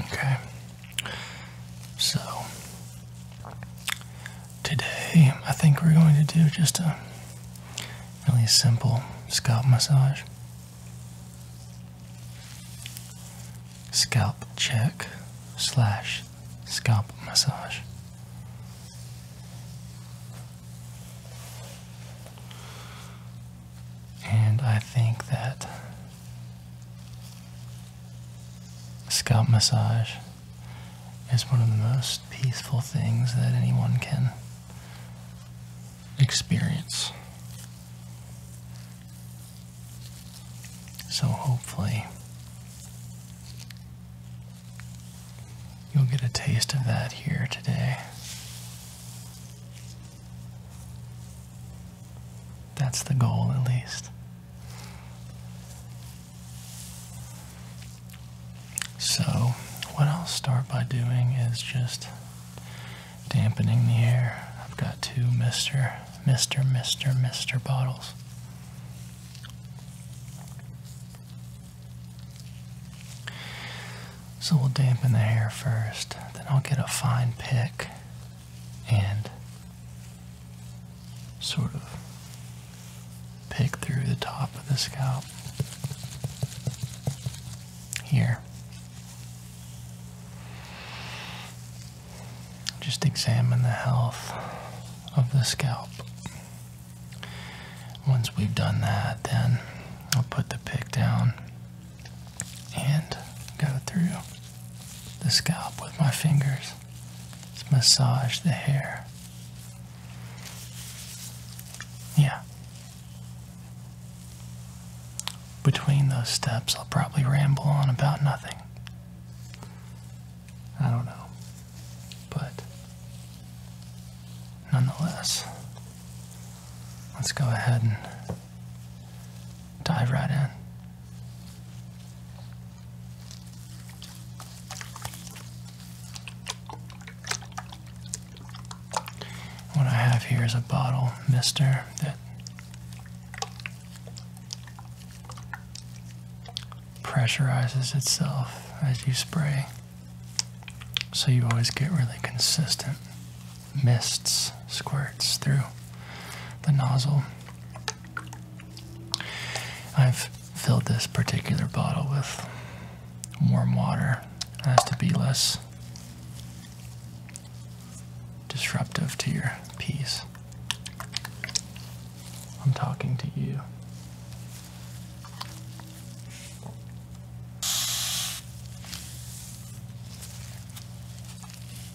Okay. So today I think we're going to do just a really simple scalp massage. Scalp check slash scalp massage. And I think that scalp massage is one of the most peaceful things that anyone can experience. So hopefully you'll get a taste of that here today. That's the goal, at least. So, what I'll start by doing is just dampening the hair. I've got two Mr. Mr. Mr. Mr. bottles. So we'll dampen the hair first, then I'll get a fine pick and sort of pick through the top of the scalp here. Just examine the health of the scalp. Once we've done that, then I'll put the pick down and go through the scalp with my fingers. Just massage the hair. Yeah. Between those steps, I'll probably ramble on about nothing. I don't know. But nonetheless, let's go ahead and Dive right in. What I have here is a bottle mister that pressurizes itself as you spray. So you always get really consistent mists squirts through the nozzle. I've filled this particular bottle with warm water as to be less disruptive to your peace. I'm talking to you.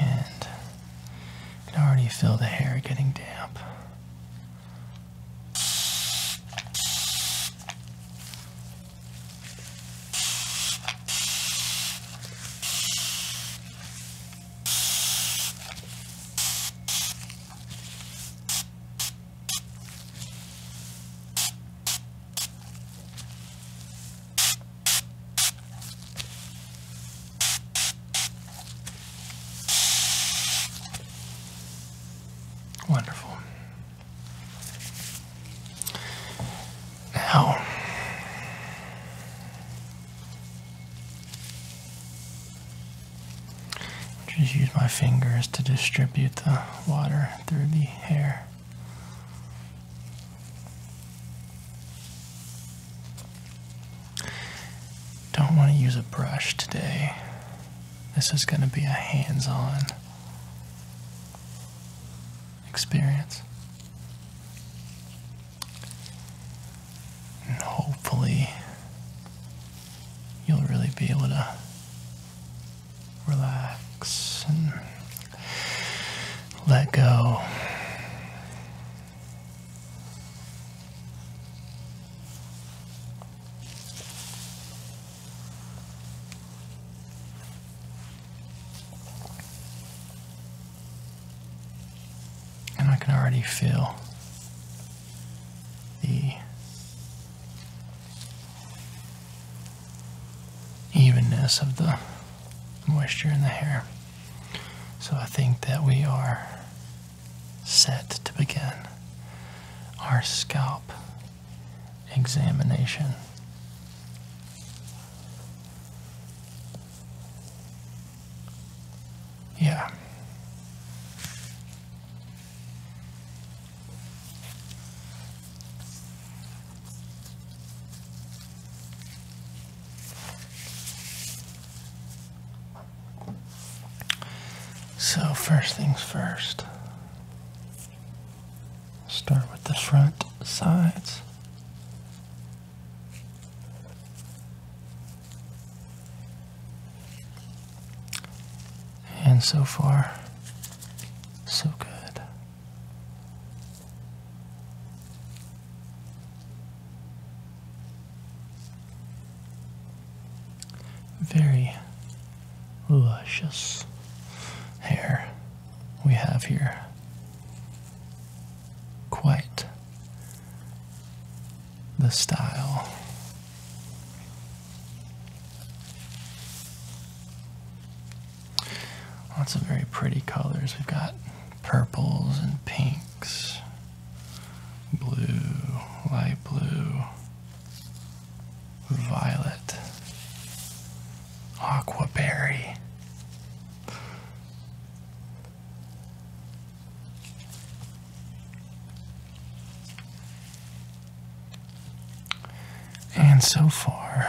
And I can already feel the hair getting damp. Wonderful. Now, just use my fingers to distribute the water through the hair. Don't want to use a brush today. This is going to be a hands on experience. And hopefully, you'll really be able to relax let go. And I can already feel the evenness of the moisture in the hair. So I think that we are set to begin our scalp examination. Yeah. So first things first, start with the front sides. And so far, so good. Very luscious hair we have here. Quite the style. Lots of very pretty colors. We've got purples and pinks, blue, light blue, violet, aqua berry, And so far,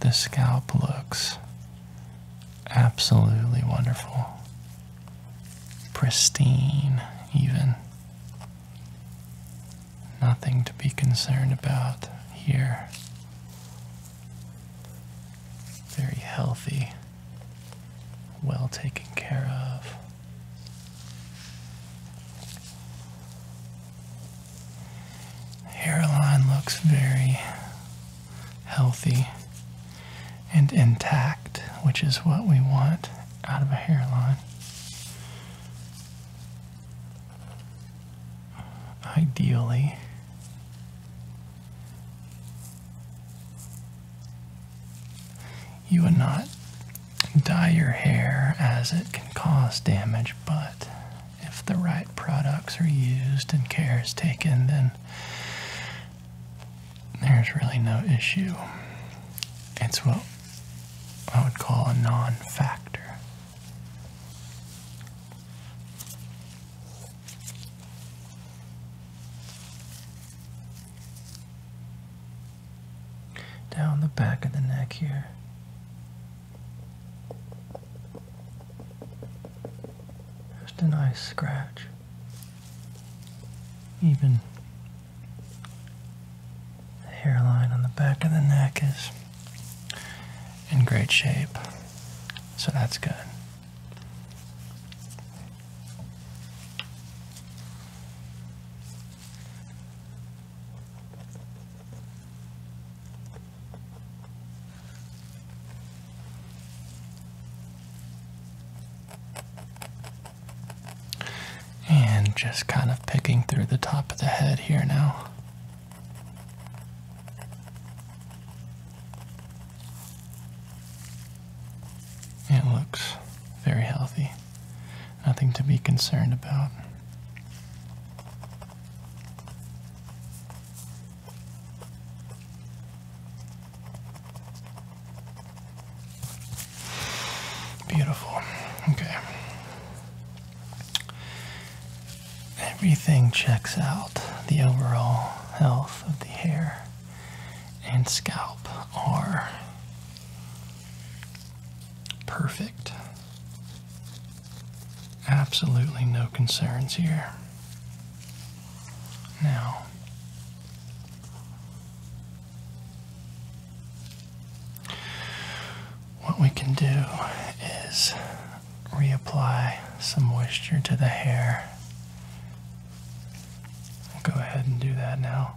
the scalp looks absolutely wonderful. Pristine, even. Nothing to be concerned about here. Very healthy, well taken care of. Hairline looks very healthy, and intact, which is what we want out of a hairline. Ideally, you would not dye your hair as it can cause damage, but if the right products are used and care is taken, then there's really no issue. It's what I would call a non factor. Down the back of the neck here. Just a nice scratch. Even the hairline on the back of the neck is in great shape, so that's good. And just kind of picking through the top of the head here now. It looks very healthy. Nothing to be concerned about. Beautiful. Okay. Everything checks out. The overall health of the hair and scalp are perfect. Absolutely no concerns here. Now, what we can do is reapply some moisture to the hair. I'll go ahead and do that now.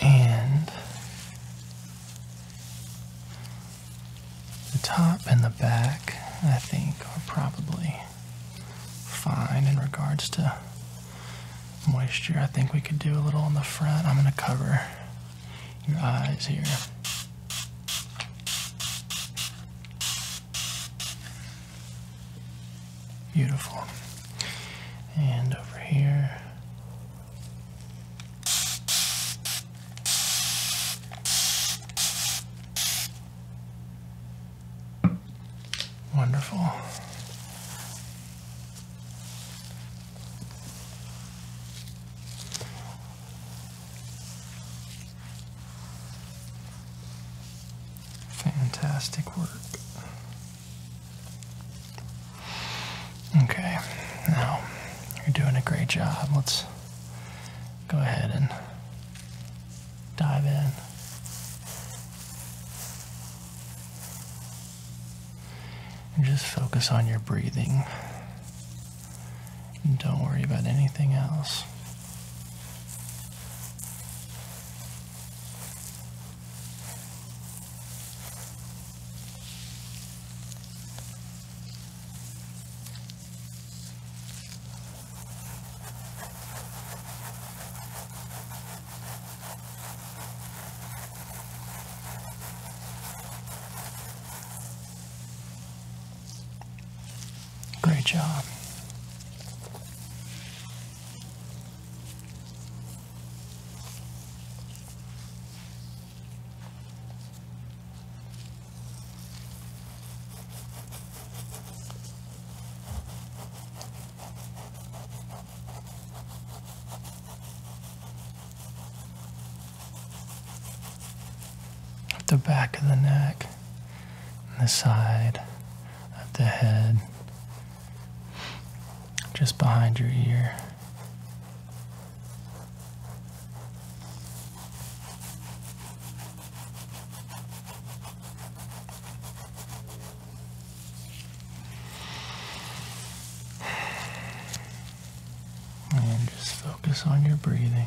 And the top and the back, I think, are probably fine in regards to moisture. I think we could do a little on the front. I'm going to cover your eyes here. Beautiful. And over here. Wonderful. Fantastic work. Okay, now you're doing a great job. Let's go ahead and dive in. And just focus on your breathing. don't worry about anything else. Great job. At the back of the neck, and the side of the head, just behind your ear. And just focus on your breathing.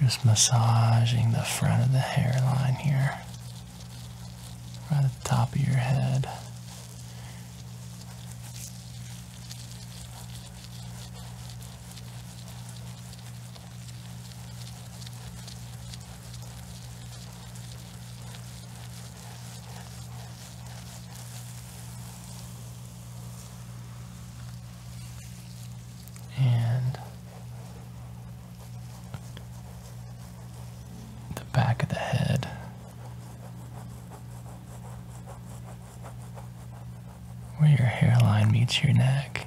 just massaging the front of the hairline here, right at the top of your head and the back of the head. Where your hairline meets your neck.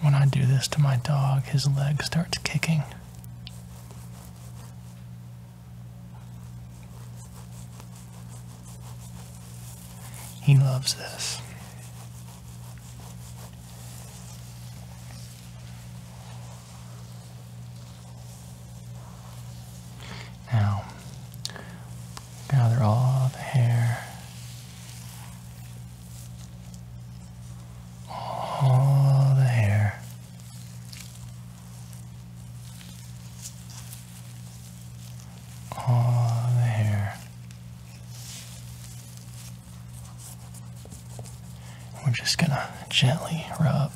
When I do this to my dog, his leg starts kicking. He loves this. Now, they're all the hair all the hair. All the hair. We're just going to gently rub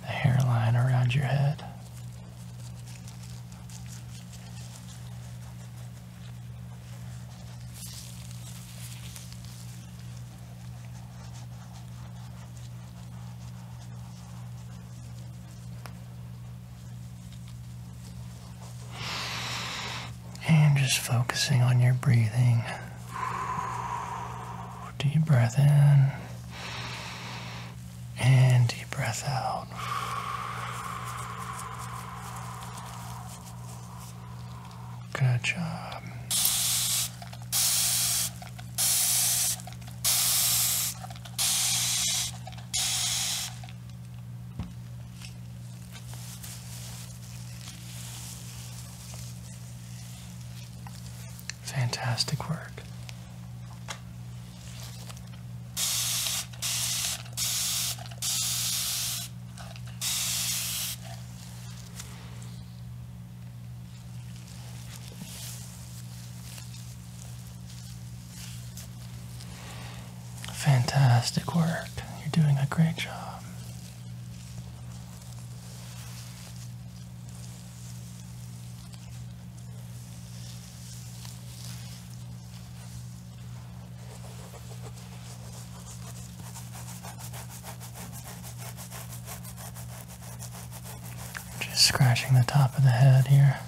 the hairline around your head. And just focusing on your breathing. Deep breath in and deep breath out. Good job. Fantastic work. Fantastic work. You're doing a great job. Just scratching the top of the head here.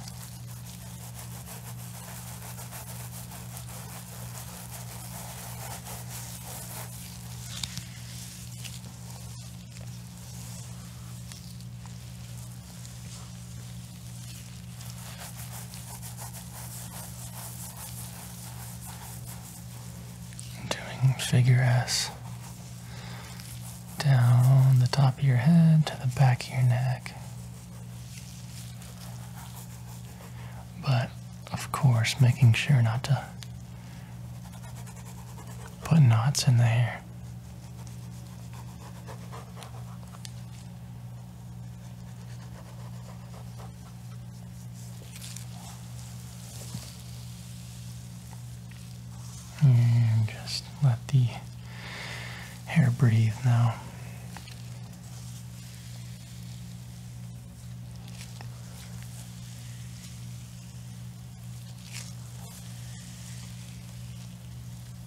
Doing figure S down the top of your head to the back of your neck. But of course, making sure not to put knots in there. And just let the hair breathe now.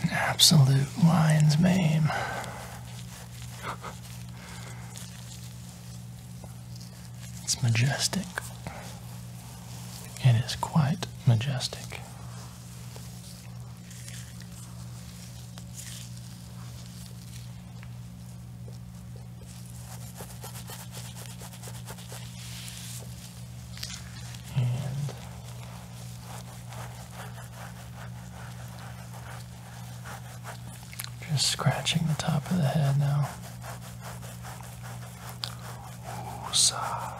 An absolute lion's mane. It's majestic. It is quite majestic. And just scratching the top of the head now. Woosah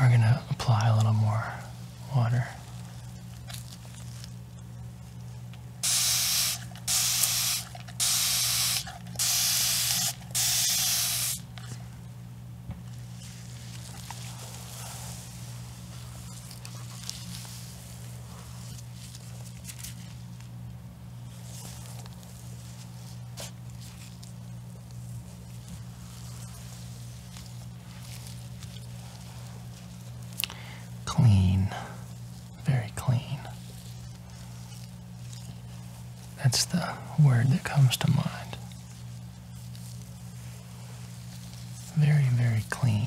we're going to apply a little more water. Clean, very clean. That's the word that comes to mind. Very, very clean.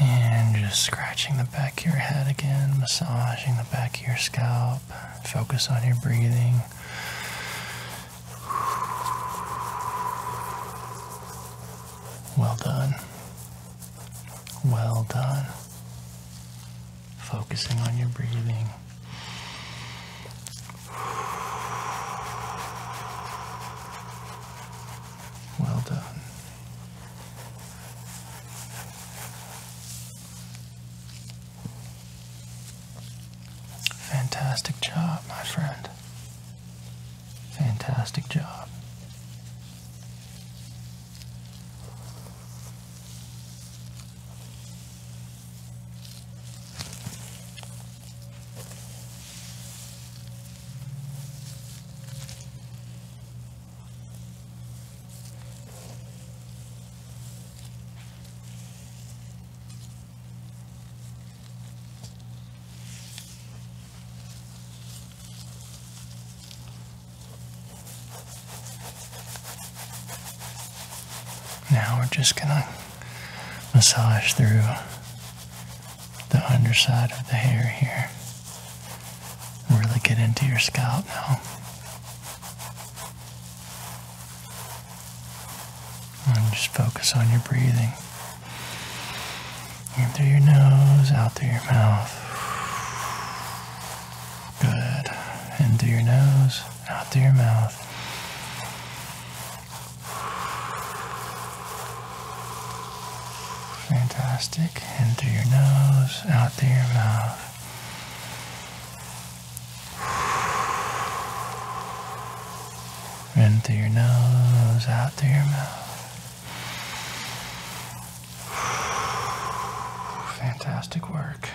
And just scratching the back of your head again, massaging the back of your scalp. Focus on your breathing. Well done. Well done. Focusing on your breathing. Well done. Fantastic job, my friend. Fantastic job. Now we're just gonna massage through the underside of the hair here. Really get into your scalp now. And just focus on your breathing. In through your nose, out through your mouth. Good. In through your nose, out through your mouth. Fantastic. In through your nose, out through your mouth. In through your nose, out through your mouth. Fantastic work.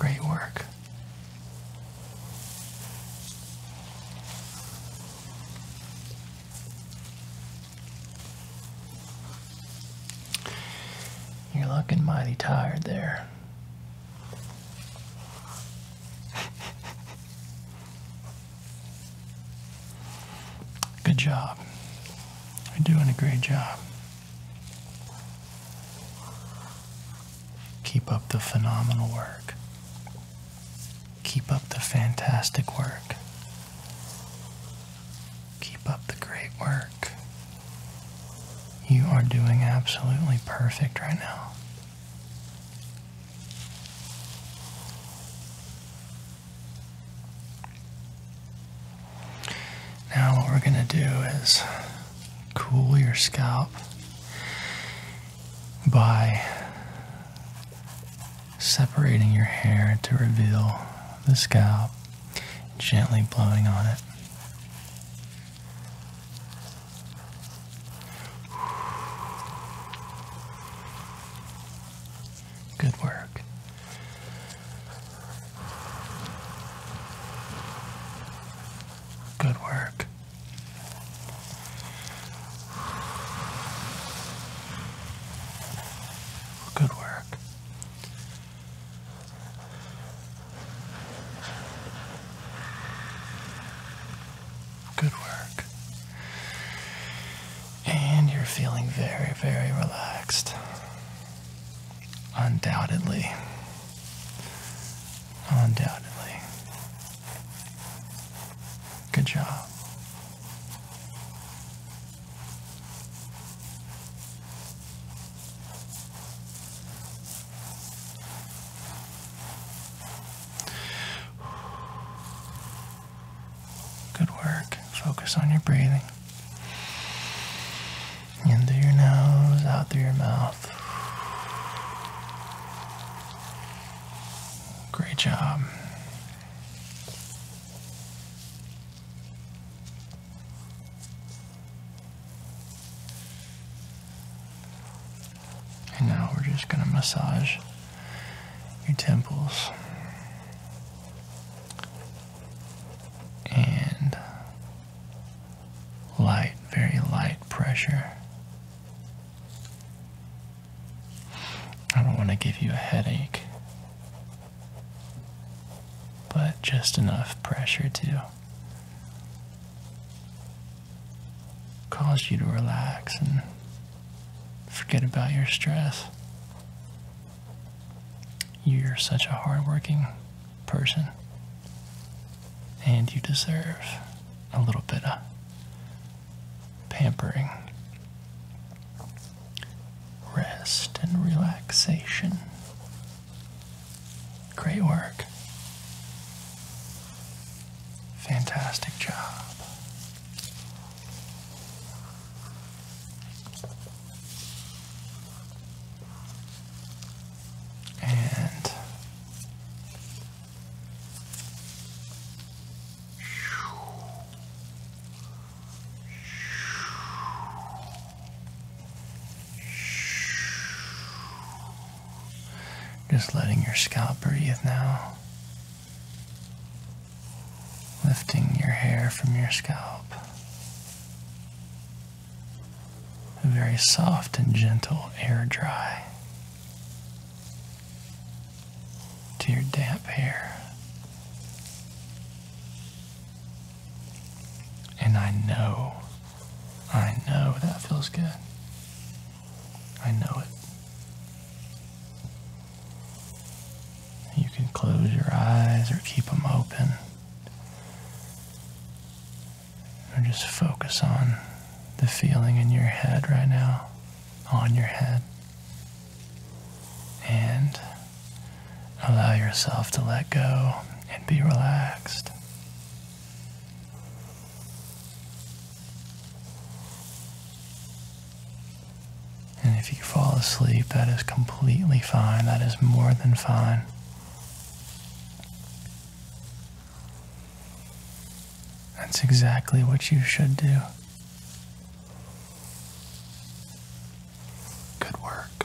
Great work. You're looking mighty tired there. Good job. You're doing a great job. Keep up the phenomenal work. Keep up the fantastic work. Keep up the great work. You are doing absolutely perfect right now. Now, what we're going to do is cool your scalp by separating your hair to reveal the scalp, gently blowing on it. Good work. Good work. Good work. Good work. And you're feeling very, very relaxed. Undoubtedly. Undoubtedly. Good job. Good work. Focus on your breathing. In through your nose, out through your mouth. Great job. And now we're just going to massage your temples and light, very light pressure. I don't want to give you a headache, but just enough pressure to cause you to relax and forget about your stress. You're such a hardworking person. And you deserve a little bit of pampering, rest, and relaxation. Great work. Fantastic job. And just letting your scalp breathe now. Lifting your hair from your scalp. A very soft and gentle air dry to your damp hair. And I know, I know that feels good. I know it. You can close your eyes or keep them open or just focus on the feeling in your head right now, on your head. And allow yourself to let go and be relaxed. And if you fall asleep, that is completely fine. That is more than fine. That's exactly what you should do. Good work.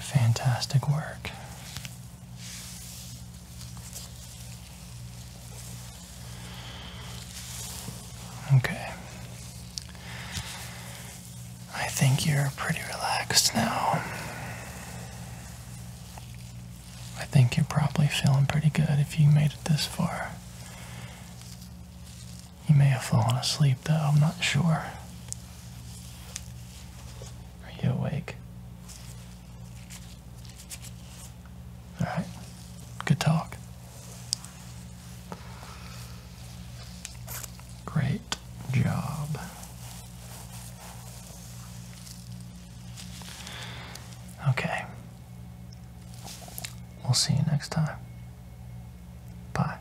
Fantastic work. Okay. I think you're pretty relaxed now. I think you're probably feeling pretty good if you made it this far. You may have fallen asleep though, I'm not sure. Are you awake? All right. Good talk. Great job. Okay. We'll see you next time. Bye.